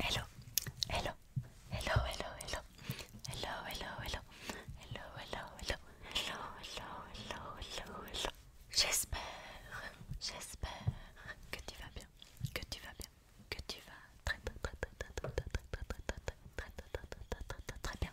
Hello, hello, hello, hello, hello, hello, hello, hello, hello, hello, hello, hello, J'espère, j'espère que tu vas bien, que tu vas bien, que tu vas très très très bien,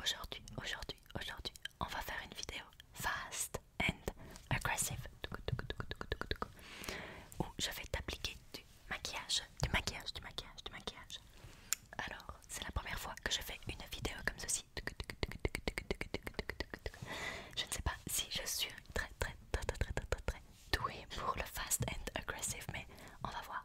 Aujourd'hui, aujourd'hui, aujourd'hui, on va faire une vidéo fast and aggressive où je vais t'appliquer du maquillage, du maquillage, du maquillage, du maquillage. Alors, c'est la première fois que je fais une vidéo comme ceci. Je ne sais pas si je suis très très très très très très, très douée pour le fast and aggressive, mais on va voir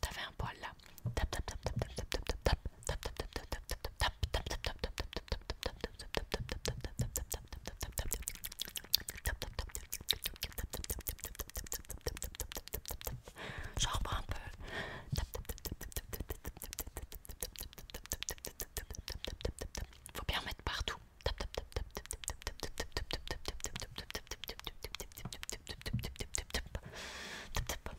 t'avais un poil là. Tap tap tap tap tap tap tap tap tap reprends un Faut bien tap partout.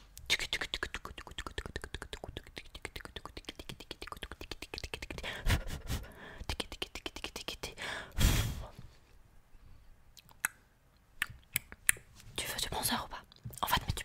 Tu veux du bronzer ou pas On va te mettre du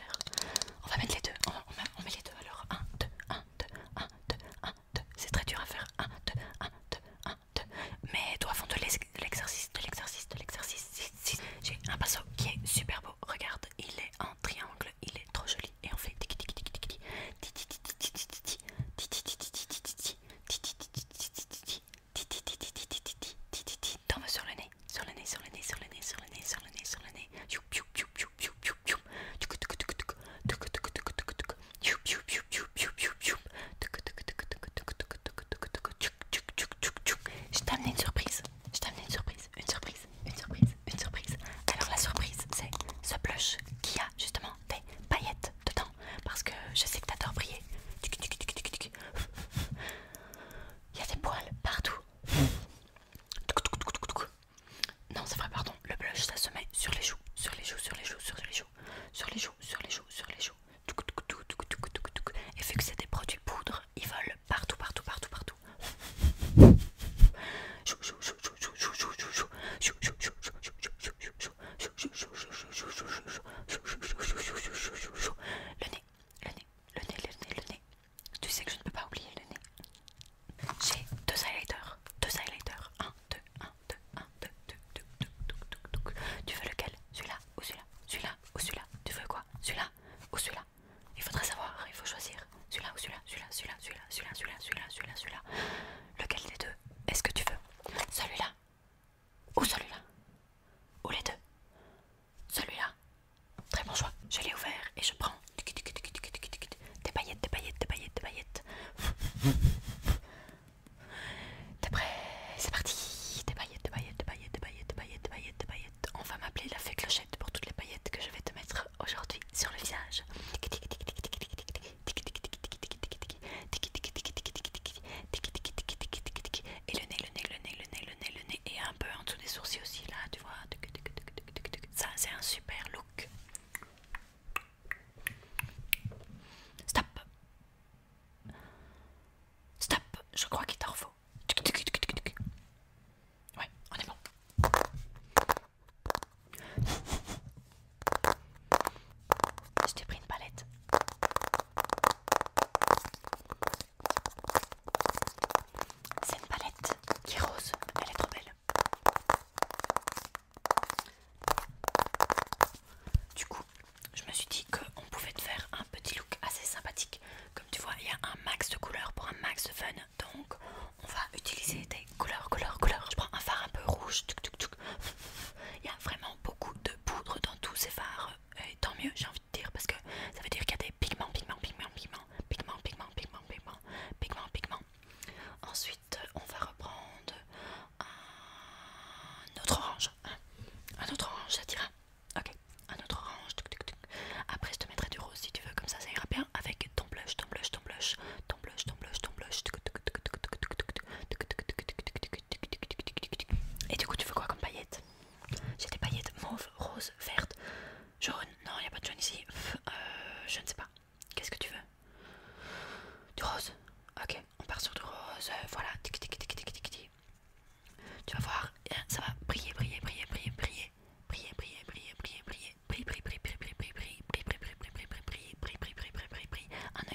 on va mettre les deux, on met les deux alors. 1, 2, 1, 2, 1, 2, 1, 2. C'est très dur à faire. 1, 2, 1, 2, 1, 2. Mais toi, avant de l'exercice, de l'exercice, de l'exercice, j'ai un pinceau qui est super beau. Regarde, il est en triangle, il est trop joli. Et on fait sur le nez, sur le nez, sur le nez, sur le nez, sur le nez, sur le nez, sur le nez. Je une surprise. Alors la surprise, c'est ce blush qui a justement des paillettes dedans parce que je sais que t'adores briller. Il y a des poils partout. Non, c'est vrai, pardon. Le blush, ça se met sur les joues, sur les joues, sur les joues, sur les joues, sur les joues, sur les joues, sur les joues. Et vu que c'est des produits poudre, ils volent partout, partout, partout, partout. Le nez, le nez, le nez, le nez, le nez. Tu sais que je ne peux pas oublier le nez. J'ai deux highlighters. Deux highlighters. 1, 2, 1, 2, 1, Tu veux lequel Celui-là ou celui-là Celui-là ou celui-là Tu veux quoi Celui-là ou celui-là Il faudrait savoir, il faut choisir. Celui-là ou celui-là, celui-là, celui-là, celui-là. Lequel des deux est-ce que tu veux Celui-là ou celui-là. Ou les deux. Celui-là. Très bon choix. Je l'ai ouvert et je prends des paillettes, des paillettes, des paillettes, des paillettes. T'es prêt C'est parti Des paillettes, des paillettes, des paillettes, des paillettes, des paillettes, des paillettes, des paillettes. On va m'appeler la fée clochette pour toutes les paillettes que je vais te mettre aujourd'hui sur le visage et le nez, le nez, le nez, le nez, le nez, le nez, et un peu en dessous des sourcils aussi, là, tu vois. Ça, c'est un super look. Stop. Stop, je crois qu'il t'en faut. Ouais, on est bon. Je t'ai pris une palette. C'est une palette qui rose, elle est trop belle. Du coup, je me suis dit qu'on pouvait te faire un petit look assez sympathique. Comme tu vois, il y a un max de couleurs pour un max de fun. Donc, on va utiliser des couleurs, couleurs, couleurs. Je prends un fard un peu rouge. Il y a vraiment beaucoup de poudre dans tous ces fards. Et tant mieux, j'ai envie dire parce que ça veut dire qu'il y a des pigments, pigments, pigments, pigments, pigments, pigments, Ensuite, on va reprendre un autre orange. Un autre orange, ça dira. Ok, un autre orange. Après, je te mettrai du rose si tu veux, comme ça, ça ira bien. Avec ton blush, ton blush, ton blush, ton blush, ton blush, ton blush. Et du coup, tu veux quoi comme paillette j'ai des paillettes mauve, rose, verte, jaune. Non, il a pas de jaune ici. je ne sais pas. Qu'est-ce que tu veux Du rose Ok, on part sur du rose. Voilà, tic tic tic tic Tu vas voir, ça va briller, briller, briller, briller, briller. Briller, briller, briller, briller, briller. briller briller briller briller briller briller briller briller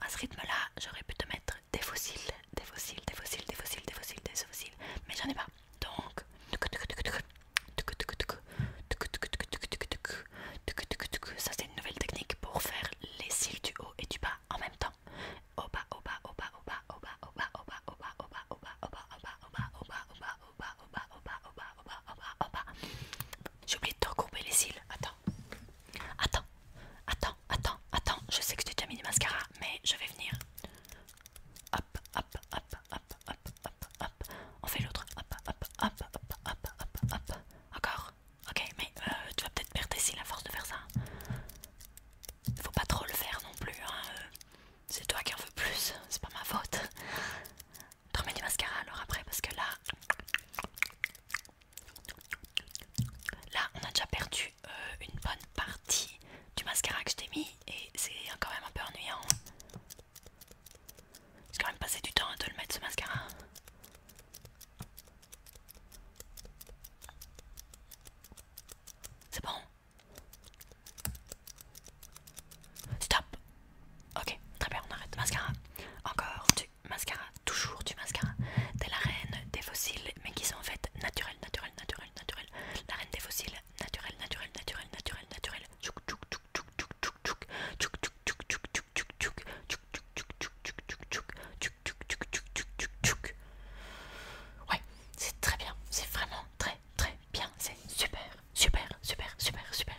à ce rythme là j'aurais pu te mettre des fossiles des fossiles des fossiles des fossiles des fossiles des fossiles mais j'en ai pas donc ça c'est une nouvelle technique pour faire les cils du haut et du bas en même temps au bas au bas au bas au attends, attends, attends, attends, Je sais que tu as mis du mascara, mais je vais venir. Hop, hop, hop, hop, hop, hop, hop. On fait l'autre. Hop, hop, hop, hop, hop, hop, Encore. Ok, mais euh, tu vas peut-être perdre tes cils à force de faire ça. Faut pas trop le faire non plus. Hein, euh. C'est toi qui en veux plus. C'est pas ma faute. tu remets du mascara alors après parce que là. Là, on a déjà perdu euh, une bonne partie du mascara que je t'ai mis et c'est quand même un peu ennuyant. J'ai quand même passé du temps à te le mettre ce mascara. C'est bon. Stop. Ok, très bien, on arrête. Mascara. Encore mascara, toujours du mascara. de la reine des fossiles, mais qui sont en fait naturel naturel naturel naturel La reine des fossiles, naturels, naturels, naturels, naturels, naturels. Ouais, c'est très bien, c'est vraiment très très bien, c'est super, super, super, super, super,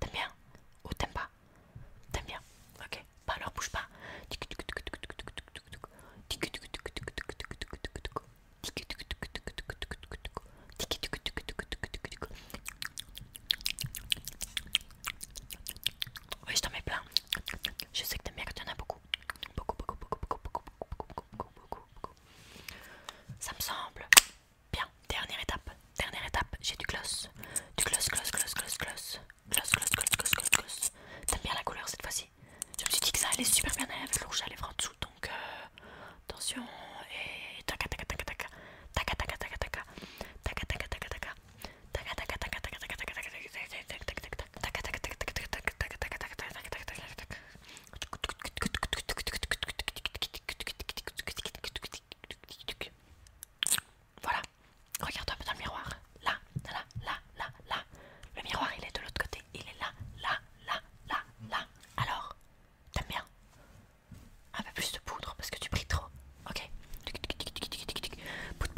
T'aimes bien Ou t'aimes pas T'aimes bien Ok, bah alors bouge pas. je t'en mets plein. Je sais que t'aimes bien quand beaucoup. Ça me semble. Bien, dernière étape, dernière étape, j'ai du gloss. Du gloss, gloss, gloss, gloss, gloss. Gloss, gloss, gloss, gloss, gloss, gloss. bien la couleur cette fois-ci Je me suis dit que ça allait super bien avec le rouge à lèvres en dessous, donc attention. Et voilà, regarde-toi dans le miroir. Là, là, là, là, là. Le miroir, il est de l'autre côté. Il est là, là, là, là, là. Alors, t'aimes bien Un peu plus de poudre parce que tu brilles trop. Ok poudre,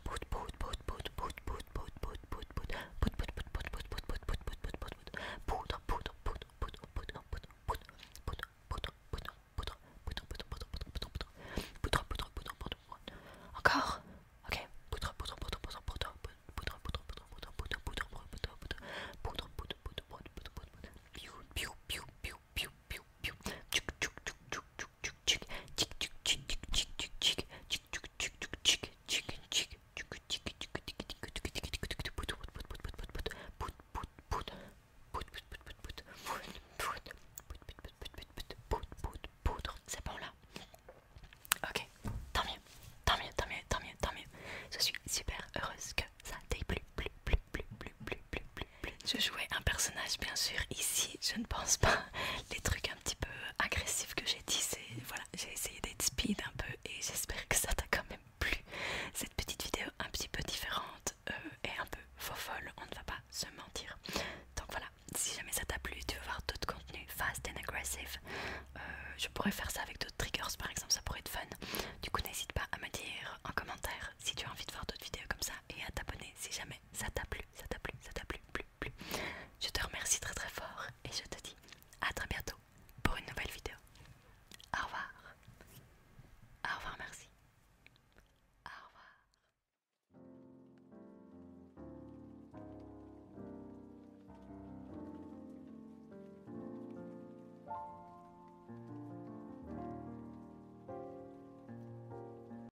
poudre, poudre, poudre, poudre, poudre, poudre encore Ok. C'est bon là Ok, tant mieux, tant mieux, tant mieux, tant mieux, tant mieux. Je suis super heureuse que ça tic plus, tic tic tic tic tic tic tic Je jouais un personnage bien sûr ici, je ne pense pas les trucs un petit peu agressifs que j'ai dit, c'est voilà, j'ai essayé d'être speed un peu et j'espère que ça t'a quand même plu. Cette petite vidéo un petit peu différente et euh, un peu faux folle, on ne va pas se mentir. Donc voilà, si jamais ça t'a plu, tu veux voir d'autres contenus fast and aggressive, euh, je pourrais faire ça avec d'autres triggers par exemple, ça pourrait être fun. Du coup, n'hésite pas à me dire en commentaire si tu as envie de voir d'autres vidéos comme ça et à t'abonner si jamais ça t'a plu ça t'a plu, ça t'a plu, plus, plus Je te remercie très très fort et je te dis à très bientôt pour une nouvelle vidéo. Au revoir. Au revoir, merci. Au revoir.